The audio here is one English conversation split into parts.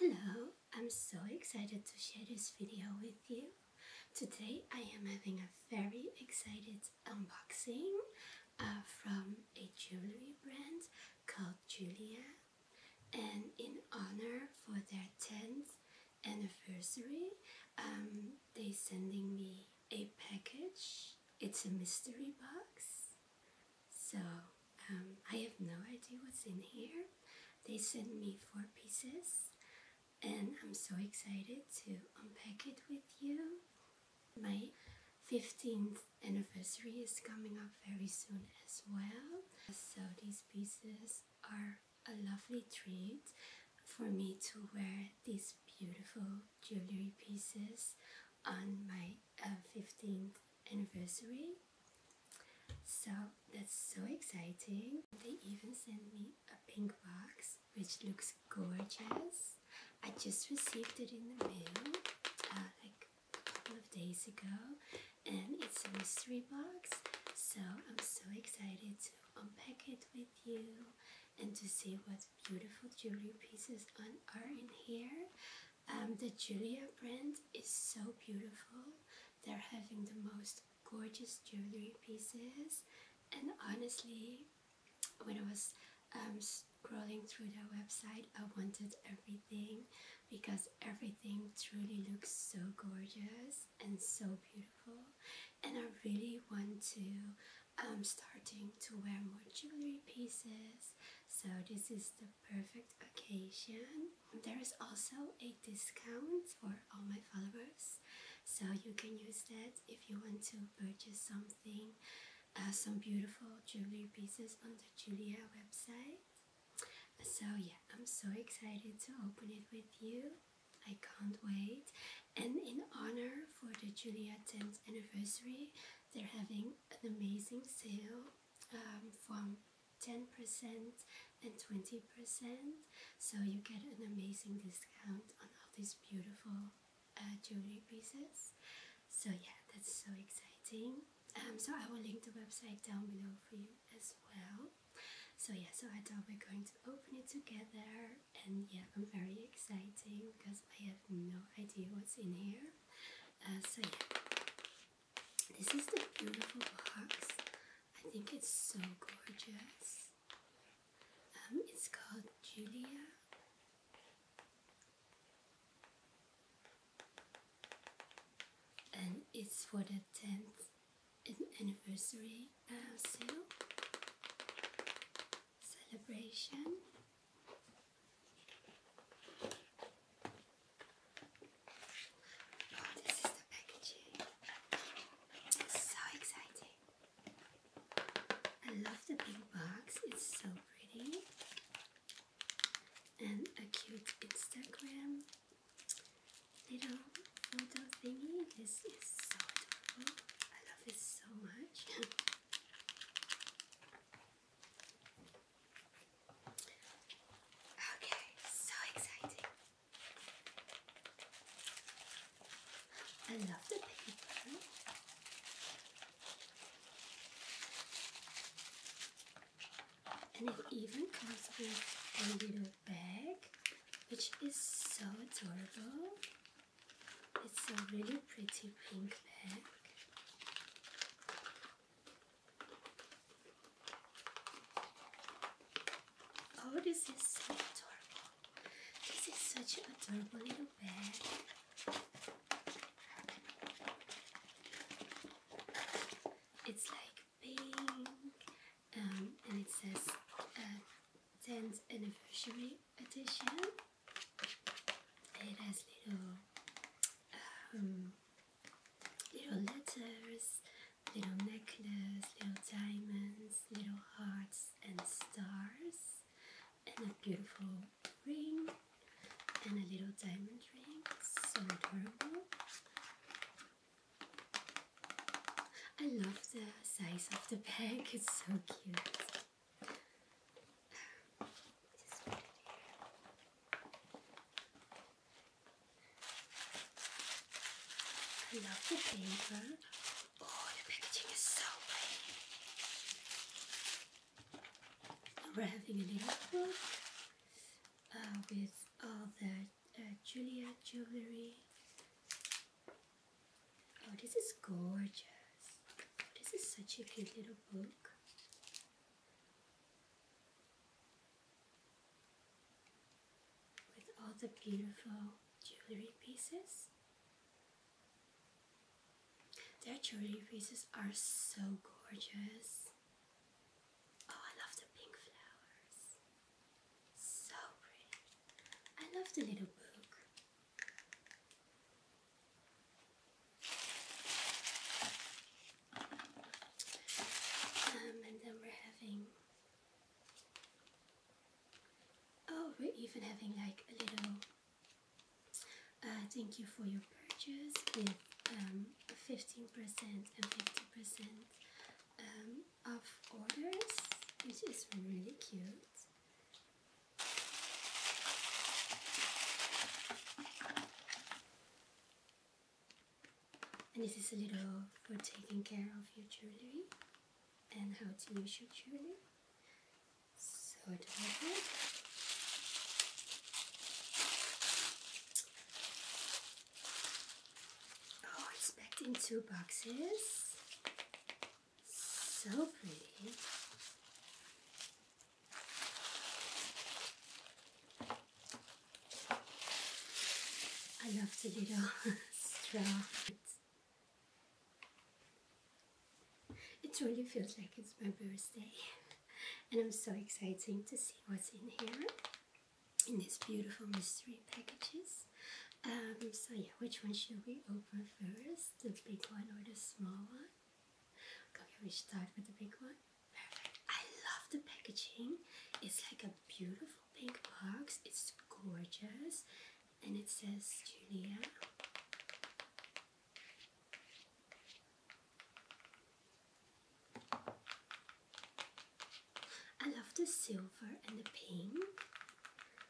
Hello, I'm so excited to share this video with you. Today I am having a very excited unboxing uh, from a jewelry brand called Julia and in honor for their 10th anniversary um, they're sending me a package it's a mystery box, so um, I have no idea what's in here. They sent me four pieces, and I'm so excited to unpack it with you. My 15th anniversary is coming up very soon as well, so these pieces are a lovely treat for me to wear these beautiful jewelry pieces on my 15th uh, anniversary. So that's so exciting. They even sent me a pink box which looks gorgeous. I just received it in the mail uh, like a couple of days ago and it's a mystery box so I'm so excited to unpack it with you and to see what beautiful jewelry pieces are in here. Um, the Julia brand is so beautiful. They're having the most gorgeous jewelry pieces, and honestly, when I was um, scrolling through their website, I wanted everything because everything truly looks so gorgeous and so beautiful, and I really want to I'm starting to wear more jewelry pieces, so this is the perfect occasion. There is also a discount for all my followers, so you can use that if you want to purchase something, uh, some beautiful jewelry pieces on the Julia website. So yeah, I'm so excited to open it with you. I can't wait. And in honor for the Julia 10th anniversary, they're having an amazing sale um, from 10% and 20%, so you get an amazing discount on all these beautiful uh, jewelry pieces. So yeah, that's so exciting. Um, so I will link the website down below for you as well. So yeah, so I thought we're going to open it together and yeah, I'm very exciting because I have no idea what's in here. Uh, so yeah, this is the beautiful box. I think it's so gorgeous. Um, it's called Julia. And it's for the 10th anniversary uh, sale celebration. Oh, this is the packaging. so exciting. I love the big box, it's so pretty. And a cute Instagram little photo thingy. This is so adorable. I love it so much. okay, so exciting. I love the paper. And it even comes with a little bag, which is so adorable. It's a really pretty pink bag. Oh, this is so adorable. This is such an adorable little bag. It's like pink um, and it says uh, 10th anniversary edition. It has little um, little letters, little necklace, little diamonds, little hearts and stars, and a beautiful ring, and a little diamond ring. So adorable. I love the size of the bag, it's so cute. I love the paper. Oh, the packaging is so pretty. a little book uh, with all the uh, Julia jewelry. Oh, this is gorgeous. Oh, this is such a cute little book. With all the beautiful jewelry pieces. Their jewelry pieces are so gorgeous. Oh, I love the pink flowers. So pretty. I love the little book. Um, and then we're having. Oh, we're even having like a little uh, thank you for your purchase with um, 15% and 50% of orders, which is really cute. And this is a little for taking care of your jewelry and how to use your jewelry. So adorable. Oh, it's packed in two boxes. So pretty. I love the little straw. It really feels like it's my birthday. And I'm so excited to see what's in here in these beautiful mystery packages. Um, so yeah, which one should we open first? The big one or the small one? Okay, we start with the big one. Perfect. I love the packaging. It's like a beautiful pink box. It's gorgeous. And it says Julia. I love the silver and the pink. Oh,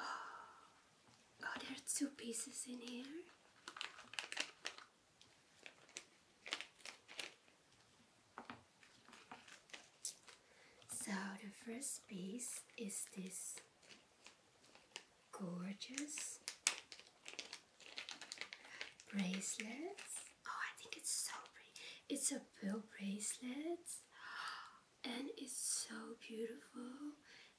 oh there are two pieces in here. So the first piece is this gorgeous bracelet. Oh, I think it's so pretty. It's a pearl bracelet and it's so beautiful.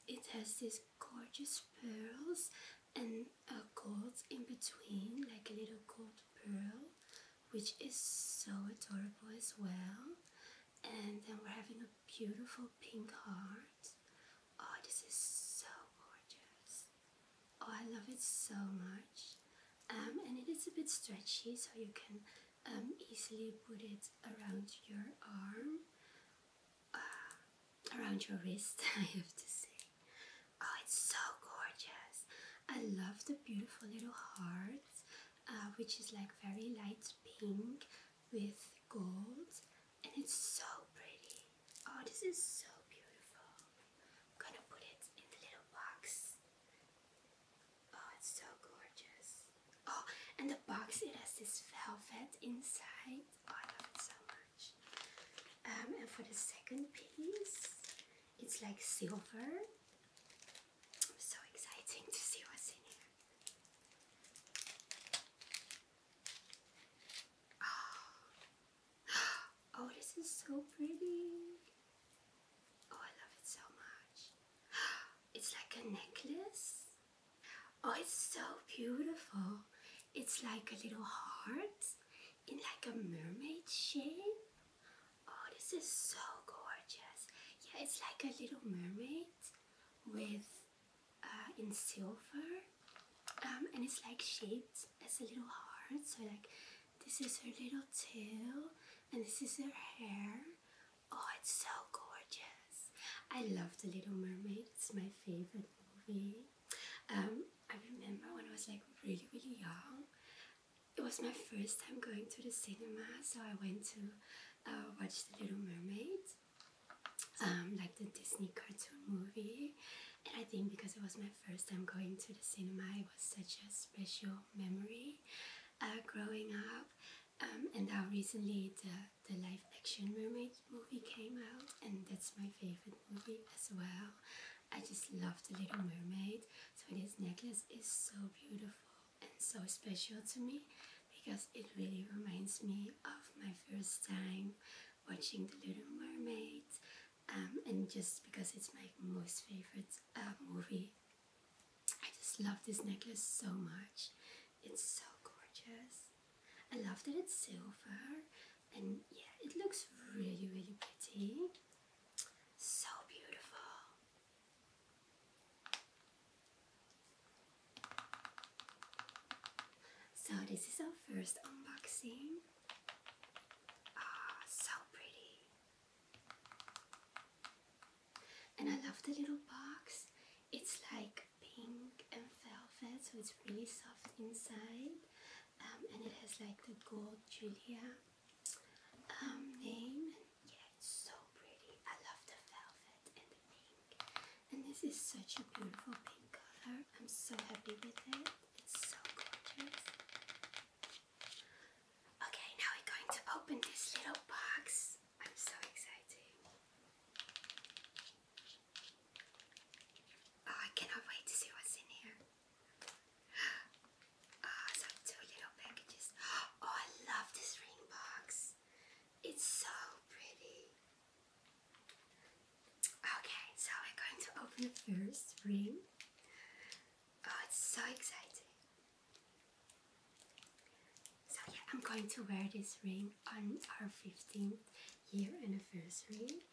It has these gorgeous pearls and a gold in between, like a little gold pearl, which is so adorable as well. And then we're having a beautiful pink heart. Oh, this is so gorgeous. Oh, I love it so much. Um, and it is a bit stretchy, so you can um, easily put it around your arm, ah, around your wrist, I have to say. Oh, it's so gorgeous! I love the beautiful little hearts, uh, which is like very light pink with gold, and it's so pretty. Oh, this is so beautiful. I'm gonna put it in the little box. Oh, it's so gorgeous. Oh, and the box it has this velvet inside. Oh, I love it so much. Um, and for the second piece, it's like silver. So exciting to see what's in here. oh, oh this is so pretty. Oh, I love it so much. It's like a necklace. Oh, it's so beautiful. It's like a little heart in like a mermaid shape. Oh, this is so gorgeous. Yeah, it's like a little mermaid with uh, in silver. Um, and it's like shaped as a little heart. So like this is her little tail and this is her hair. Oh, it's so gorgeous. I love The Little Mermaid. It's my favorite movie. Um, I remember when I was like really, really young, it was my first time going to the cinema, so I went to uh, watch The Little Mermaid, um, like the Disney cartoon movie. And I think because it was my first time going to the cinema, it was such a special memory uh, growing up. Um, and now recently the, the live action mermaid movie came out and that's my favorite movie as well. I just love the Little Mermaid. So this necklace is so beautiful and so special to me because it really reminds me of my first time watching the Little Mermaid um, and just because it's my most favorite uh, movie. I just love this necklace so much. It's so gorgeous. I love that it's silver and yeah, it looks really, really pretty. So beautiful. So this is our first unboxing. Ah, so pretty. And I love the little box. It's like pink and velvet, so it's really soft inside. Um, and it has like the gold Julia um, name. And yeah, it's so pretty. I love the velvet and the pink. And this is such a beautiful pink color. I'm so happy with it. It's so gorgeous. Okay, now we're going to open this little box. I'm so excited. Oh, I cannot wait to see what's in here. Oh, ah, some two little packages. Oh, I love this ring box. It's so pretty. Okay, so we're going to open the first ring. Oh, it's so exciting. So yeah, I'm going to wear this ring on our 15th year anniversary,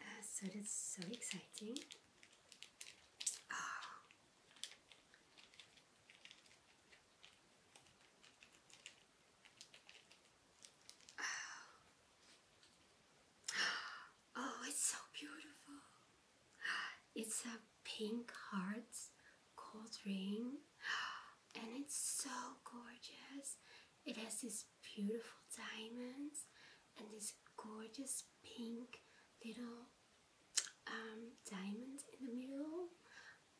uh, so that's so exciting. Oh. Oh. oh, it's so beautiful. It's a pink hearts gold ring, and it's so gorgeous. It has this beautiful diamonds and this gorgeous pink little um, diamond in the middle.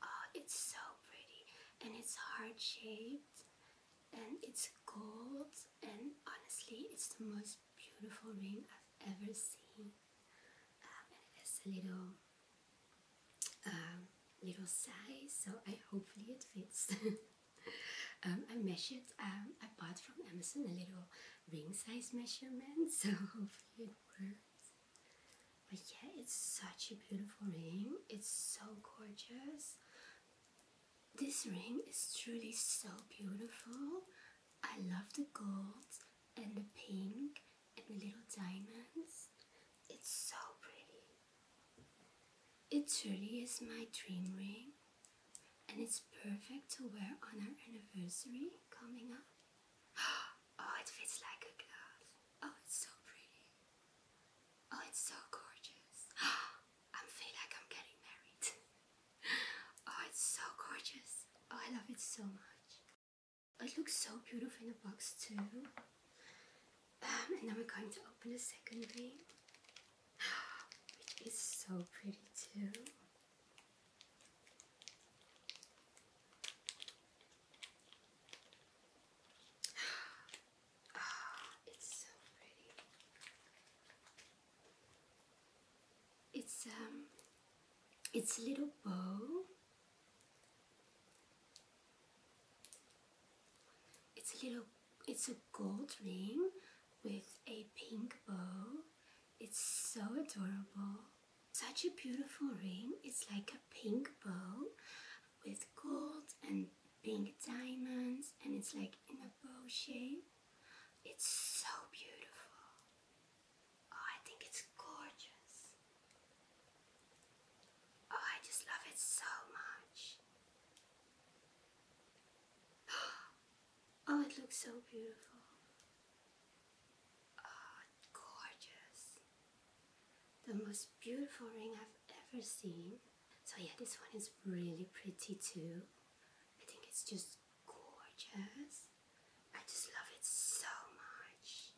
Oh, it's so pretty and it's heart shaped and it's gold and honestly it's the most beautiful ring I've ever seen. Um, and it has a little um, little size so I hopefully it fits. I um, measured, I um, bought from Amazon a little ring size measurement, so hopefully it works. But yeah, it's such a beautiful ring, it's so gorgeous. This ring is truly so beautiful. I love the gold and the pink and the little diamonds. It's so pretty. It truly is my dream ring, and it's perfect to wear on our anniversary coming up. Oh, it fits like a glove. Oh, it's so pretty. Oh, it's so gorgeous. I feel like I'm getting married. Oh, it's so gorgeous. Oh, I love it so much. It looks so beautiful in the box too. Um, and now we're going to open the second ring. It's so pretty too. Ah, it's so pretty. It's um it's a little bow it's a little, it's a gold ring with a pink bow. It's so adorable. Such a beautiful ring. It's like a pink bow with gold and pink diamonds and it's like in a bow shape. It's so beautiful. Oh, I think it's gorgeous. Oh, I just love it so much. Oh, it looks so beautiful. Oh, gorgeous. The most beautiful ring I've ever seen. So yeah, this one is really pretty too. I think it's just gorgeous. I just love it so much.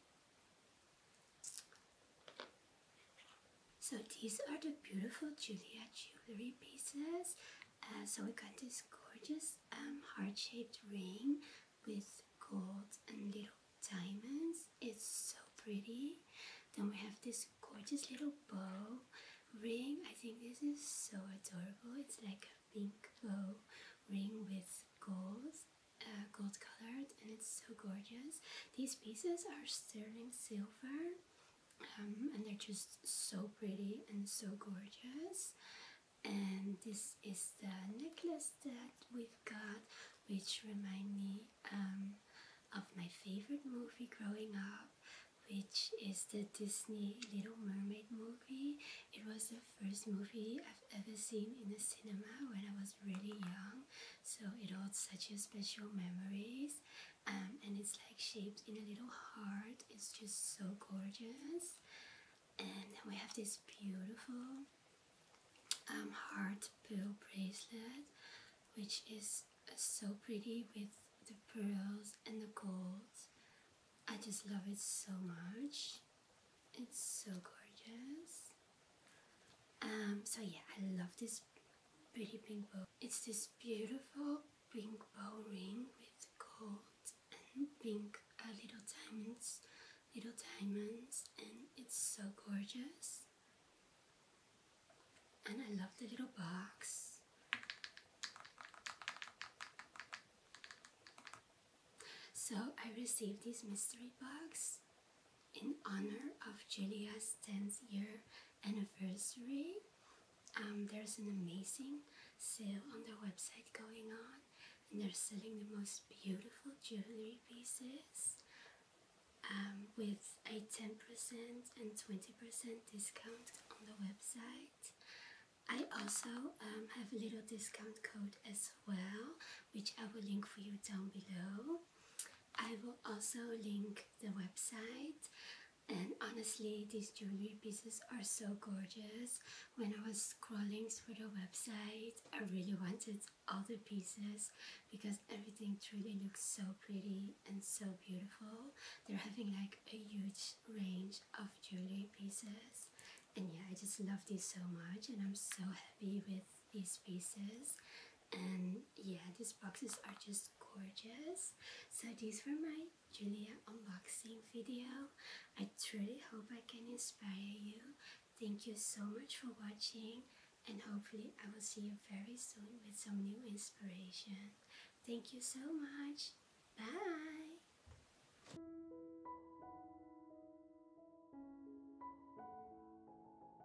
So these are the beautiful Julia jewelry pieces. Uh, so we got this gorgeous um, heart-shaped ring with gold and little diamonds. It's so pretty. Then we have this gorgeous little bow ring. I think this is so adorable. It's like a pink bow ring with gold, uh, gold colored and it's so gorgeous. These pieces are sterling silver um, and they're just so pretty and so gorgeous and this is the necklace that we've got which remind me um, of my favorite movie growing up which is the Disney Little Mermaid movie. It was the first movie I've ever seen in the cinema when I was really young so it holds such a special memories um, and it's like shaped in a little heart it's just so gorgeous and then we have this beautiful um, heart pearl bracelet which is uh, so pretty with the pearls and the gold I just love it so much it's so gorgeous um, so yeah I love this pretty pink bow. It's this beautiful pink bow ring with gold and pink uh, little diamonds, little diamonds, and it's so gorgeous. And I love the little box. So I received this mystery box in honor of Julia's 10th year anniversary. Um, there's an amazing sale on their website going on and they're selling the most beautiful jewelry pieces um, with a 10% and 20% discount on the website. I also um, have a little discount code as well, which I will link for you down below. I will also link the website. And honestly, these jewelry pieces are so gorgeous. When I was scrolling through the website, I really wanted all the pieces because everything truly looks so pretty and so beautiful. They're having like a huge range of jewelry pieces. And yeah, I just love these so much and I'm so happy with these pieces. And yeah, these boxes are just gorgeous. So these were my Julia unboxing video. I truly hope I can inspire you. Thank you so much for watching and hopefully I will see you very soon with some new inspiration. Thank you so much. Bye!